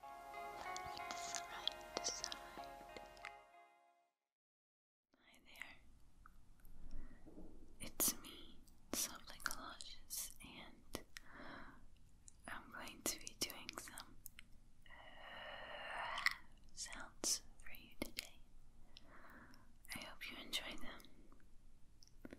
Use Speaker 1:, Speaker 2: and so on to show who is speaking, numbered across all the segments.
Speaker 1: Hi there. It's me, Something Colossus, and I'm going to be doing some uh, sounds for you today. I hope you enjoy them.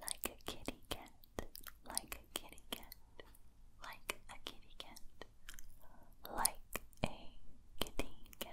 Speaker 1: Like a kitty cat, like a kitty cat, like a kitty cat, like a kitty cat,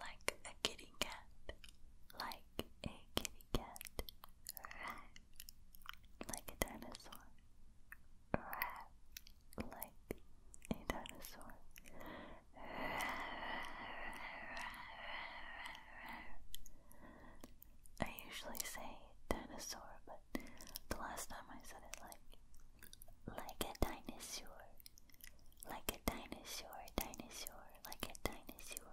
Speaker 1: like a kitty cat, like like a kitty cat. Like a dinosaur. Like a dinosaur. I usually say dinosaur, but the last time I said it like like a dinosaur like a dinosaur, dinosaur, like a dinosaur.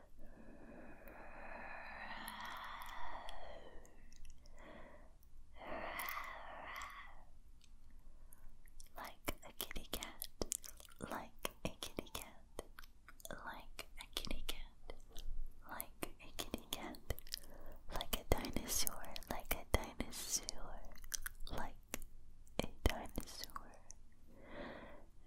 Speaker 1: Like a kitty cat, like a kitty cat, like a kitty cat, like a kitty cat, like a dinosaur, like a dinosaur, like a dinosaur.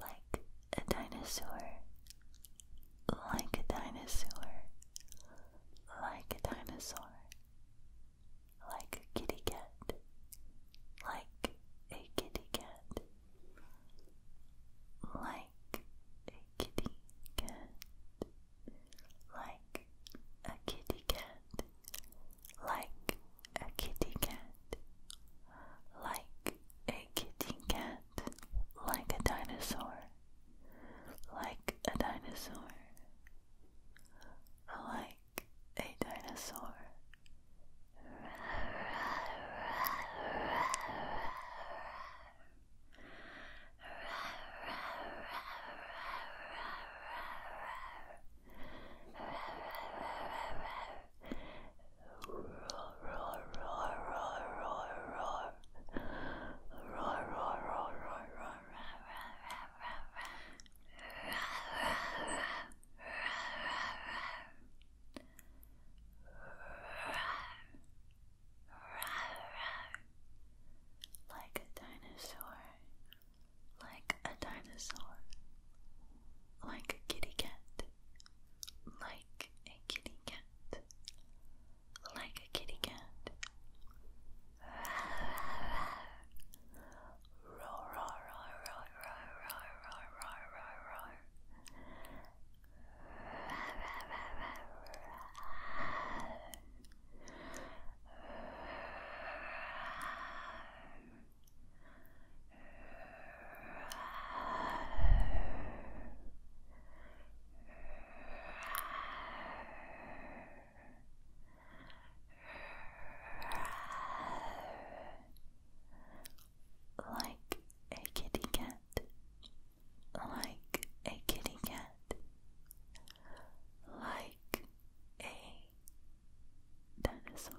Speaker 1: like a dinosaur like a dinosaur, like a dinosaur, like a kitty cat, like a kitty cat, like a kitty cat, like a kitty cat, like a kitty cat, like a kitty cat, like a dinosaur, like a dinosaur, like a dinosaur. Like a dinosaur, like a dinosaur, like a kitty cat, like like a kitty cat, like a kitty cat. Roar, roar, roar, roar, roar, roar, roar, roar, roar, roar. Run, like a kitty cat, like a kitty cat, like a dinosaur.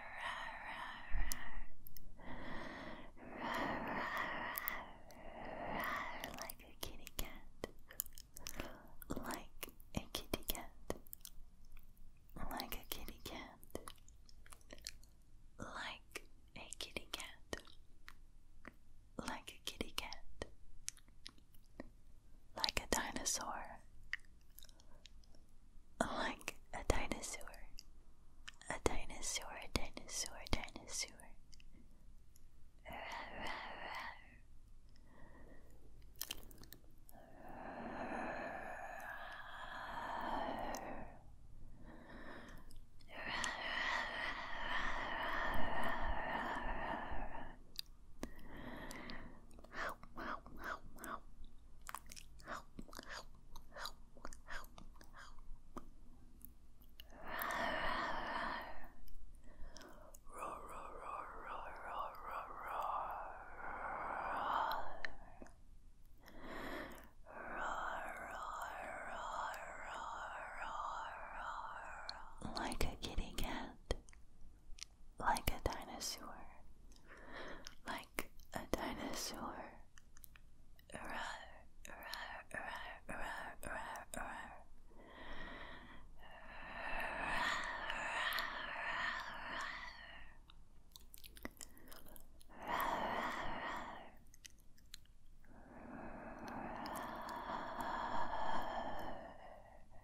Speaker 1: like a kitty cat, like a kitty cat, like a kitty cat, like a kitty cat, like a kitty cat, like a dinosaur like a dinosaur. A dinosaur, a dinosaur, a dinosaur. Rah, rah, rah. Wow, wow, wow, wow. Like a kitty cat, like a dinosaur, like a dinosaur. Rar, rar, rar, rar, rar, rar.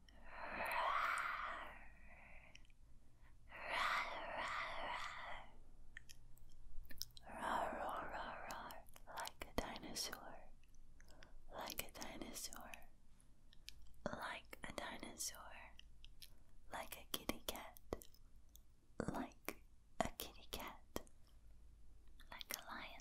Speaker 2: Roar,
Speaker 1: roar, roar, roar, like a dinosaur, like a dinosaur, like a dinosaur, like a kitty cat, like a kitty cat, like a lion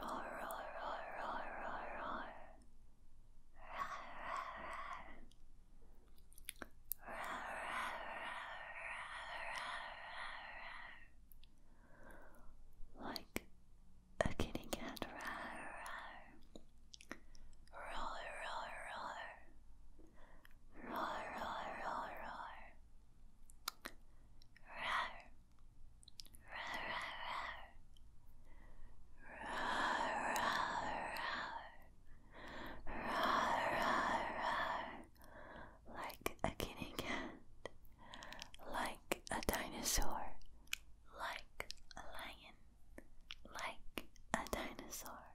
Speaker 1: Roar, roar, roar, roar, roar, roar. Like a kitty cat. Roar, roar, roar. Roar, roar, roar, roar. Roar. Like a guinea cat, like a dinosaur, like a lion, like a dinosaur.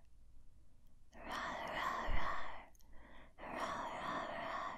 Speaker 1: Rawr, rawr, rawr, rawr, rawr,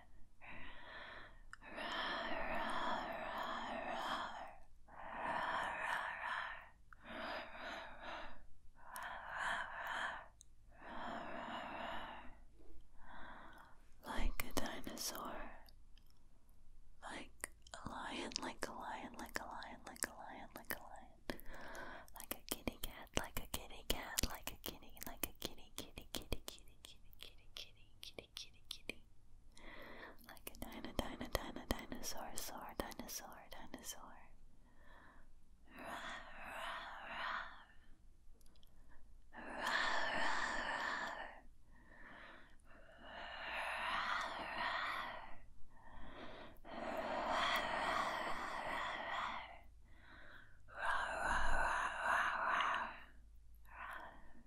Speaker 1: Like a dinosaur, like a lion, like a lion, like a lion, like a lion, like a lion, like a kitty cat, like a kitty cat, like a kitty, like a kitty, kitty, kitty, kitty, kitty, kitty, kitty, kitty kitty, kitty, kitty. Like a dino, dino, dino, dinosaur, saur, dinosaur, dinosaur. Rawr, rawr, rawr. Rawr, rawr, rawr.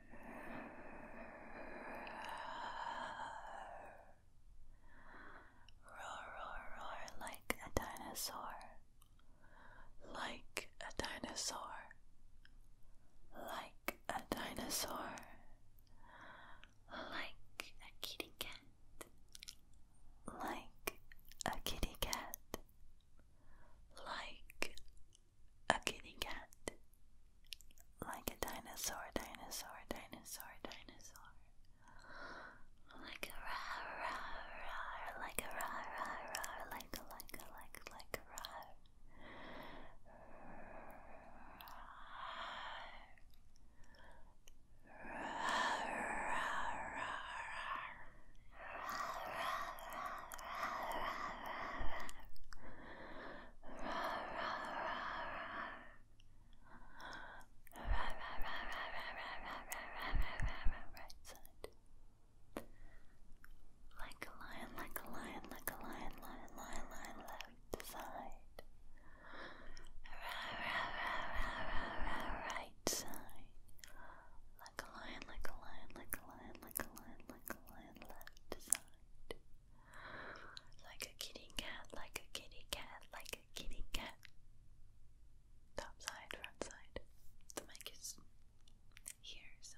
Speaker 1: Roar, roar, roar like a dinosaur. Like a dinosaur. Like a dinosaur. Like a kitty cat. Like a kitty cat like a kitty cat, like a dinosaur, dinosaur, dinosaur, dinosaur, like a rar, rar, rar, like a rar, rar, rar, like a, like a, like a, like a rar right side. Like a lion, like a lion, like a lion, lion, lion, lion, left side. Right side. Like a lion, like a lion, like a lion, like a lion, like a lion. Like a kitty cat, like a kitty cat, like a kitty cat. Top side, front side. The mic is here, so.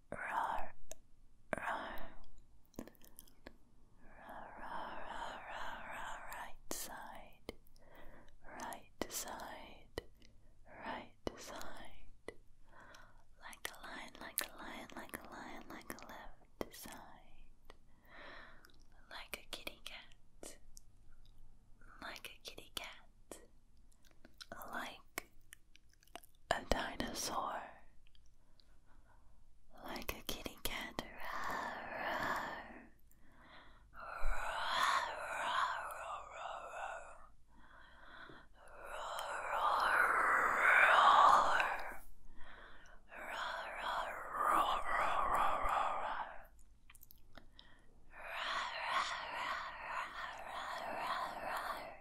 Speaker 1: roar, roar. Right side, right side, right side. Like a lion, like a lion, like a lion, like a left side. Like a kitty cat, like a kitty cat. Like a dinosaur. Like a kitty cat.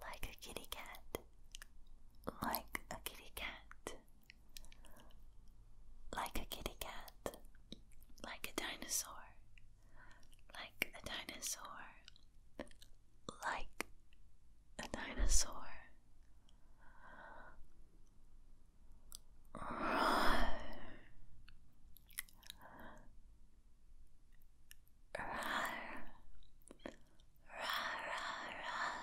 Speaker 1: Like a kitty cat, like a kitty cat. Like a kitty cat, like a dinosaur, like a dinosaur, like a dinosaur. Roar. Roar. Roar, roar, roar.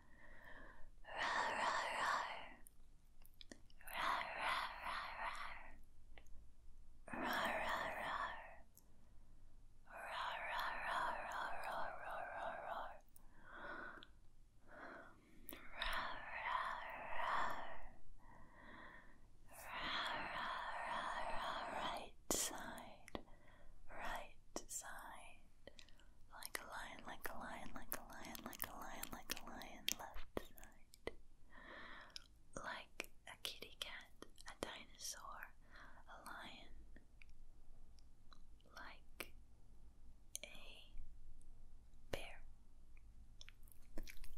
Speaker 1: Rar, rar, rar. Rar, rar, rar, rar. Rar, rar, rar. Rar, rar, rar, rar, rar, rar, rar, rar. Rar, rar, rar. Rar, rar, rar, rar, right side right side, like a lion, like a lion, like a lion, like a lion, like a lion, left side, like a kitty cat, a dinosaur, a lion, like a bear,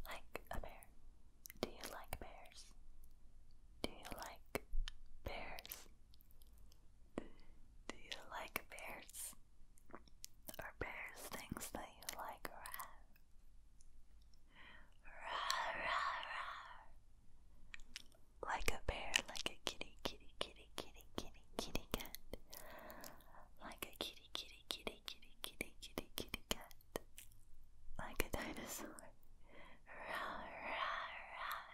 Speaker 1: like a bear. Do you like bears? Do you like bears? Do you like bears? Are bears things that you like or have? Rah, Like a bear, like a kitty, kitty, kitty, kitty, kitty, kitty cat. Like a kitty, kitty, kitty, kitty, kitty, kitty, kitty cat. Like a dinosaur. Rah, rah, rah.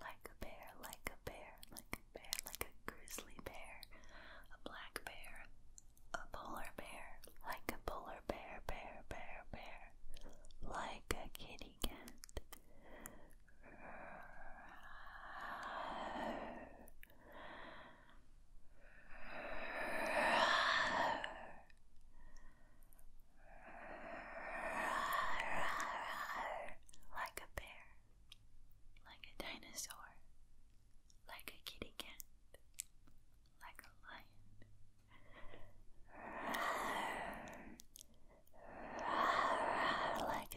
Speaker 1: Like a bear, like a bear, like a like a grizzly bear, a black bear, a polar bear, like a polar bear, bear, bear, bear, like a kitty cat. Like a bear, like a dinosaur, like a kitty cat, like a lion, like a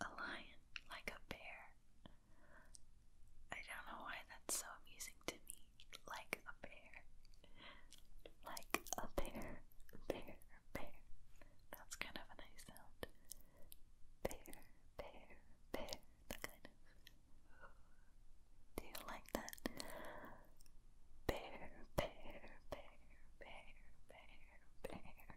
Speaker 2: a lion like a bear. I don't know why that's so amusing to me. Like a bear. Like a bear. Bear, bear. That's kind of a nice sound. Bear, bear, bear. That kind of. Do you like that? Bear, bear, bear, bear, bear, bear,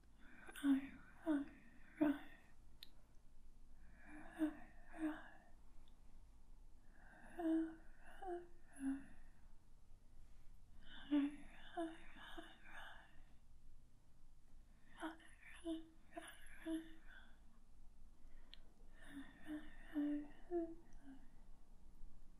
Speaker 2: I, row, row, row, row, row, row, row. Row, row, row, row. Row, row, row, row. Row, row, row,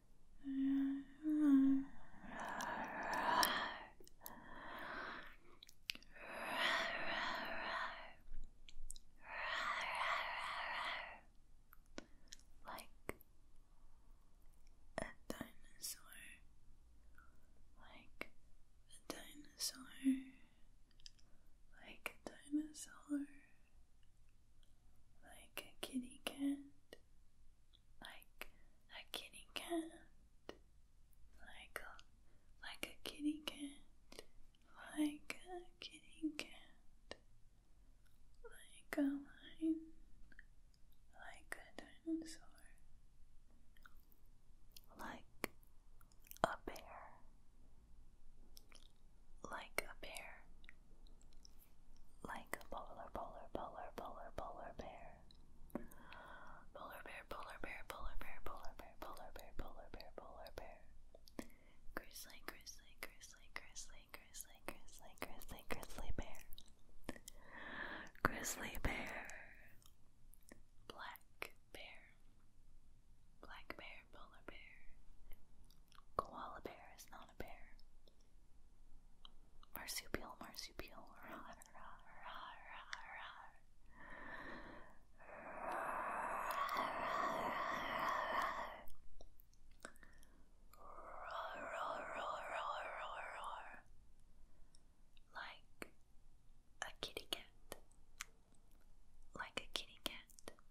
Speaker 2: Like
Speaker 1: a dinosaur, like a dinosaur, like a dinosaur, like a kitty cat, like a kitty cat, like a like a kitty cat, like a kitty cat, like a lion, like a dinosaur, like a bear, like a bear, like polar, polar, polar, polar, polar bear. Polar bear, polar bear, polar bear, polar bear, polar bear, polar bear, polar bear. Grizzly, grizzly, grizzly, grizzly, grizzly, grizzly, grizzly, grizzly bear. Grizzly bear. Black bear. Black bear, polar bear. Koala bear is not a bear. Marsupial, marsupial. Rawr, rawr, rawr, rawr, rawr. Roar, roar, roar, roar, roar, roar. Like a kitty cat. Like a kitty cat.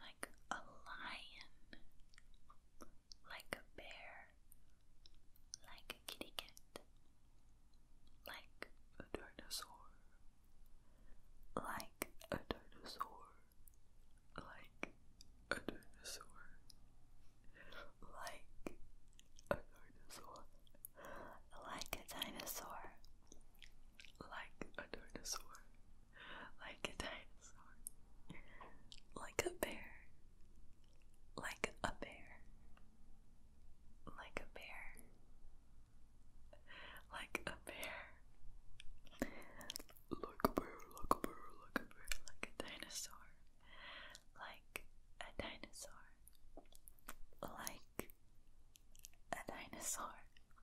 Speaker 1: like a lion, like a bear, like a kitty cat, like a dinosaur, like a dinosaur, like a dinosaur, like a dinosaur, like a dinosaur, like a dinosaur like a dinosaur, like a bear, like a bear, like a bear, like a bear, like a bear, like a bear, like a bear, like a dinosaur, like a dinosaur, like a dinosaur,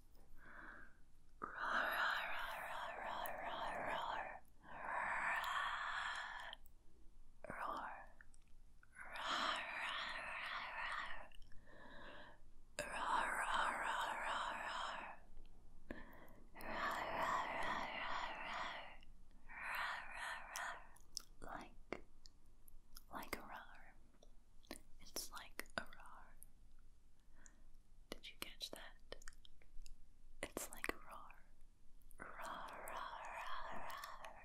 Speaker 2: Roar, roar, roar,
Speaker 1: roar, roar, roar, roar, roar. Like, like a roar. It's like a roar. Did you catch that? It's like roar. roar, roar, roar, roar, roar.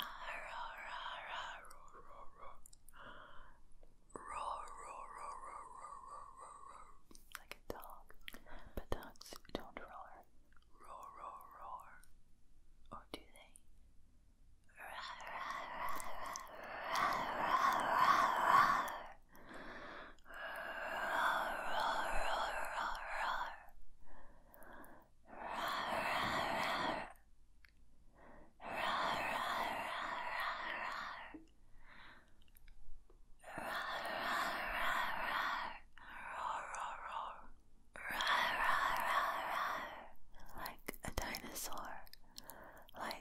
Speaker 1: Roar, roar, roar, roar, roar, roar, roar, roar. Like a dog. But dogs don't roar. Roar, roar, roar. Or do they? Like a dinosaur, like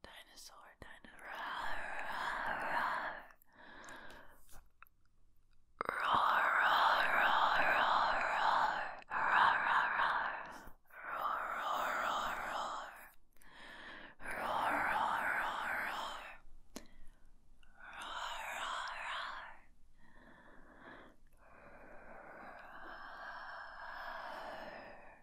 Speaker 1: Dinosaur, dinosaur,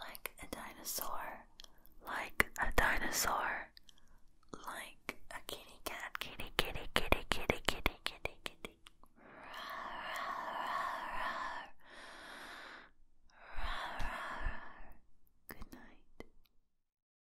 Speaker 1: Like a dinosaur, like a dinosaur, like a kitty cat, kitty, kitty, kitty, kitty, kitty, kitty, kitty. Good night.